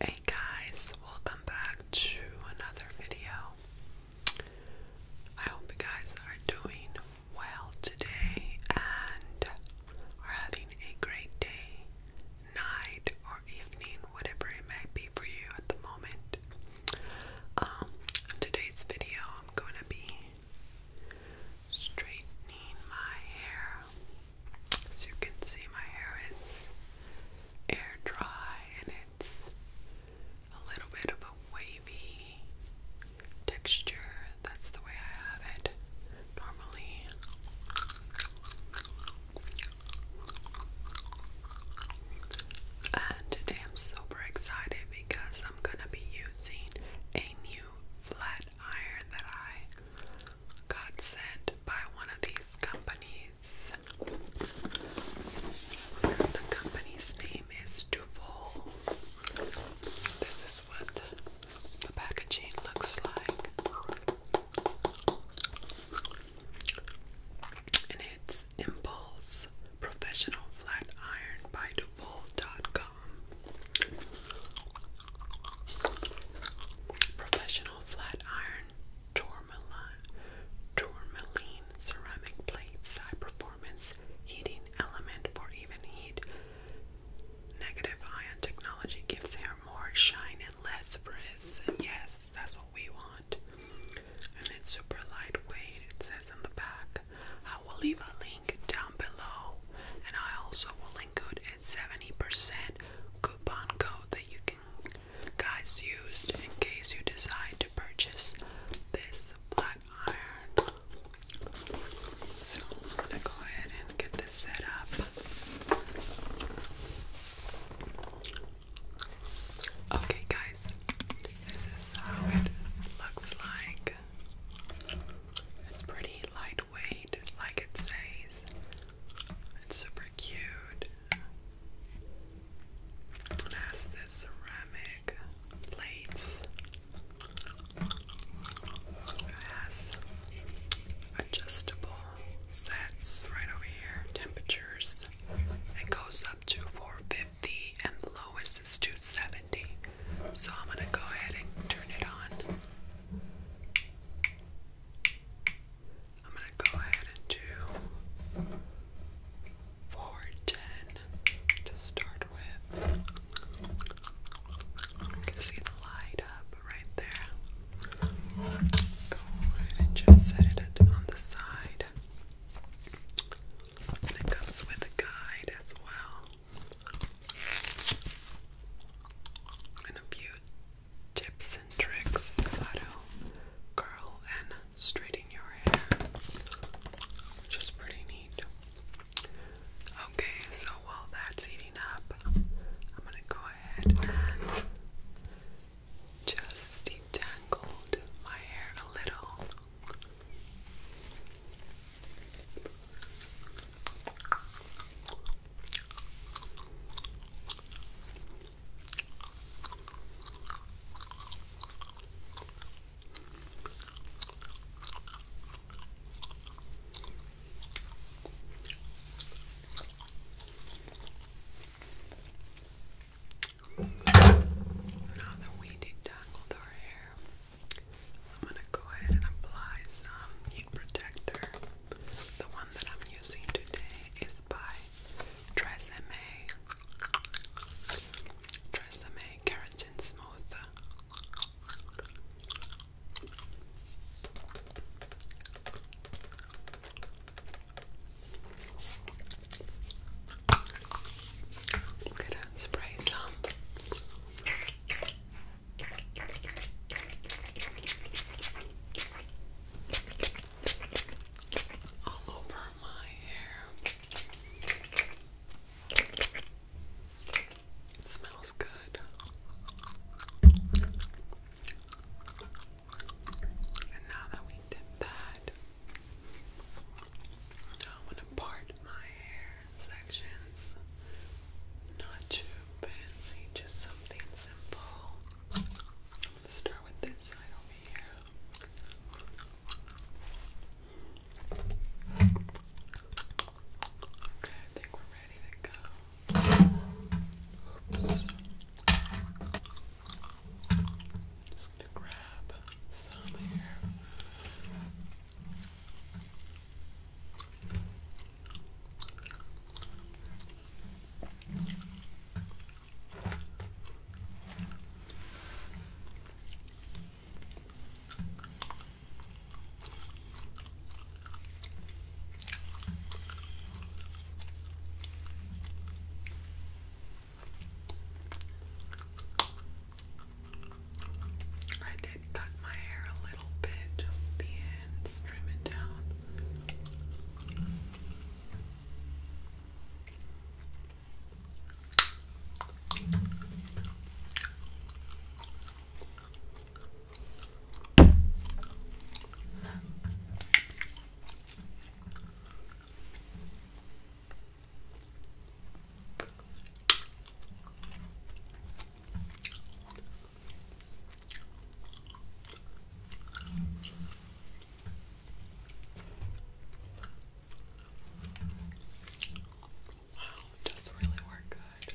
Hey guys, welcome back to another video. I hope you guys are doing well today and are having a great day, night, or evening, whatever it may be for you at the moment. Um, today's video, I'm going to be straightening my hair. As you can see, my hair is air dry and it's a little bit of a wavy texture. That's the way I have it normally. And today I'm super excited because I'm gonna be using a new flat iron that I got sent by one of these companies. The company's name is Duval. This is what the packaging looks like. And it's Impulse Professional Flat Iron by Duval.com. Professional flat iron tourmaline, tourmaline ceramic plates, high performance heating element for even heat. Negative ion technology gives hair more shine and less frizz. Yes, that's what we want. And it's super lightweight, it says in the back. I will leave a link down below, and I also will include a 70% coupon code that you can guys use in case you decide to purchase this flat iron. So I'm gonna go ahead and get this set up. Okay, guys, this is how it looks like. It's pretty lightweight, like it says. It's super cute. It has the ceramic plates. It has adjustable sets right over here, temperatures. It goes up to 450 and low low oh, is this 270. So I'm going to go ahead and turn it on. I'm going to go ahead and do 410 to start with. You can see the light up right there. Go just set it on the side. And it comes with a guide as well a few tips and tricks how to and straighten your hair, which is pretty neat. Okay, so while that's heating up, I'm gonna go ahead and just detangled my hair a little. Now that we detangled our I'm gonna go ahead and apply some heat protector. The one that I'm using today is by Tresemme. Tresemme Keratin Smooth i spray some. All over my hair. smells good. And now that we did that, I'm going to part my hair sections. Not too fancy, just something simple. start with this side over here. Okay, I think we're ready to go. Oops. Just gonna grab some here. I did cut my hair a little bit, just the ends, trim it down. Wow, it does really work good.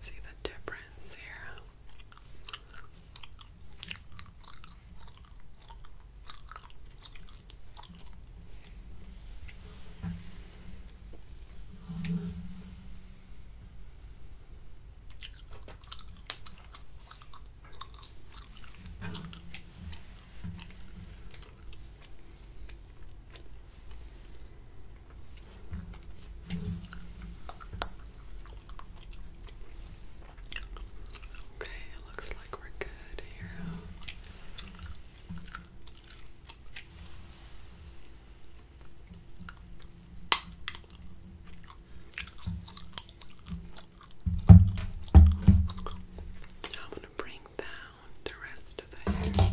See the difference here. Okay, it looks like we're good here. Now I'm going to bring down the rest of the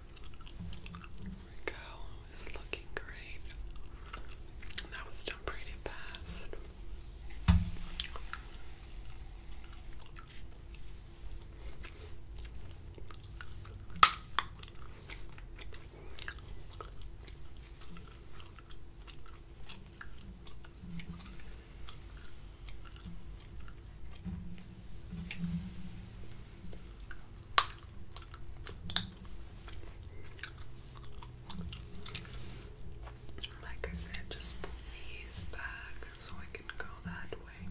There we go. It's looking great. That was done pretty fast. Like I said, just pull these back so I can go that way.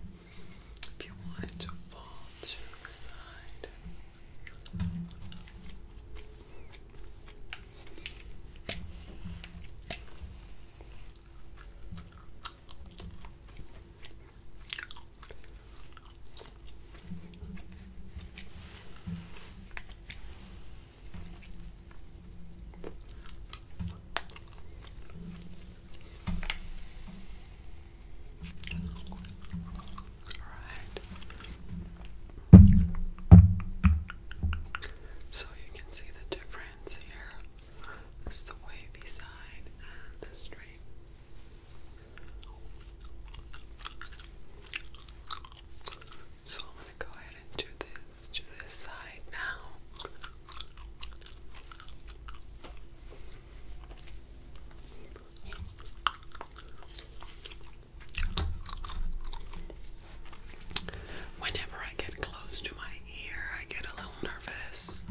If you want it to fall to the side. All right. So you can see the difference here. It's the wavy side the straight. So I'm gonna go ahead and do this to this side now. Whenever I get close to my ear, I get a little nervous.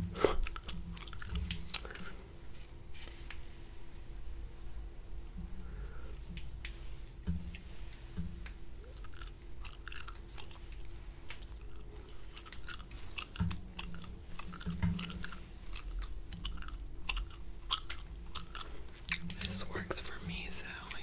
This works for me, so yeah.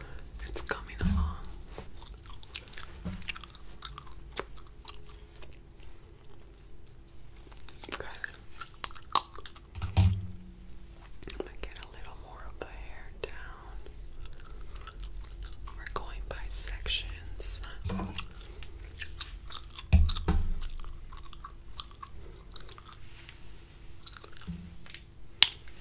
It's coming along. I'm gonna get a little more of the hair down. We're going by sections.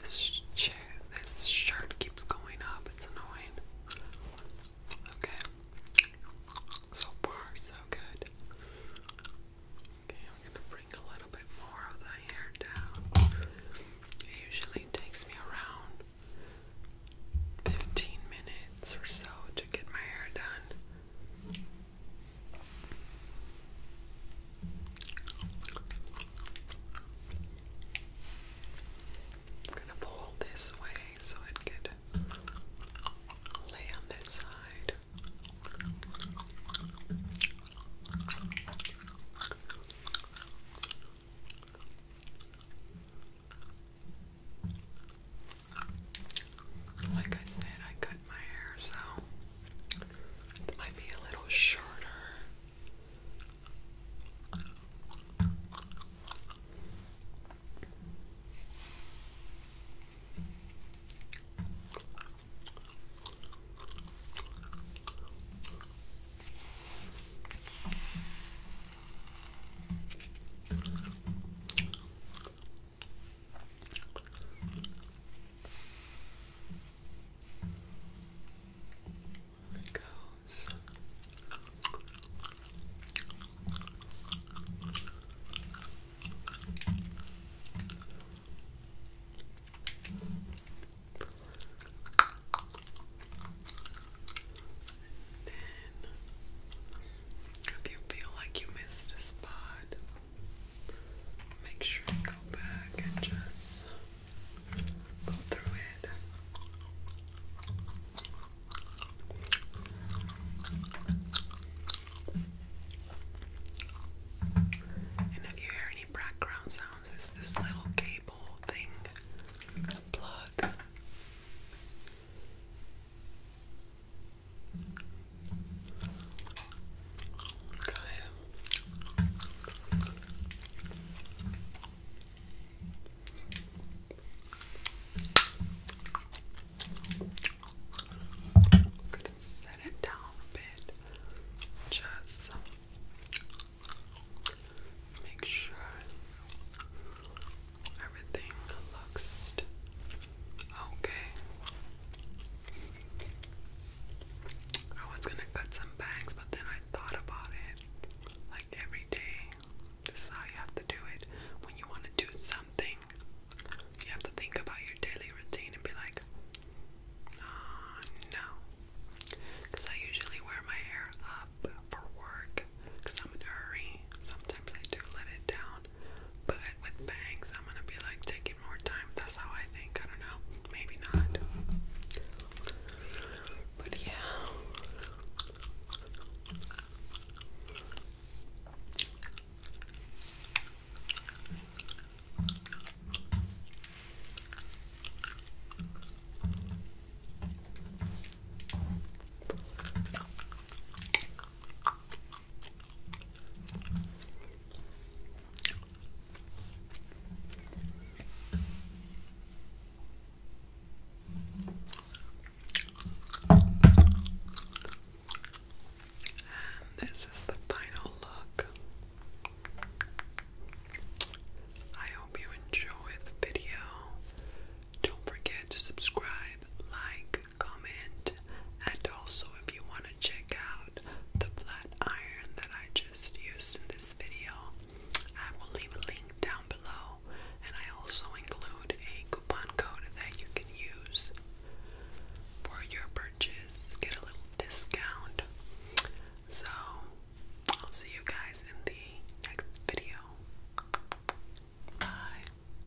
This chair, this shirt keeps going up. It's annoying. Okay. So far, so good. Okay, I'm gonna bring a little bit more of the hair down. It usually takes me around 15 minutes or so to get my hair done pull this way so it could lay on this side. Like I said, I cut my hair, so it might be a little shorter. It goes. then, if you feel like you missed a spot make sure you go back and just go through it. And if you hear any background sounds, it's this little cable thing, plug. Okay. I'm gonna set it down a bit. Just make sure everything looks Okay. I was gonna cut some bangs, but then I thought about it. Like every day, this is how you have to do it. When you want to do something, you have to think about your daily routine and be like, ah, no. Because I usually wear my hair up for work because I'm in a hurry. Sometimes I do let it down, but with bangs, I'm gonna be like taking more time. That's how I think. I don't know. Maybe not. But yeah. And this is the final look. I hope you enjoyed the video. Don't forget to subscribe, like, comment, and also if you want to check out the flat iron that I just used in this video, I will leave a link down below, and I also include a coupon code that you can use for your purchase, get a little discount. So, I'll see you guys in the next video. Bye.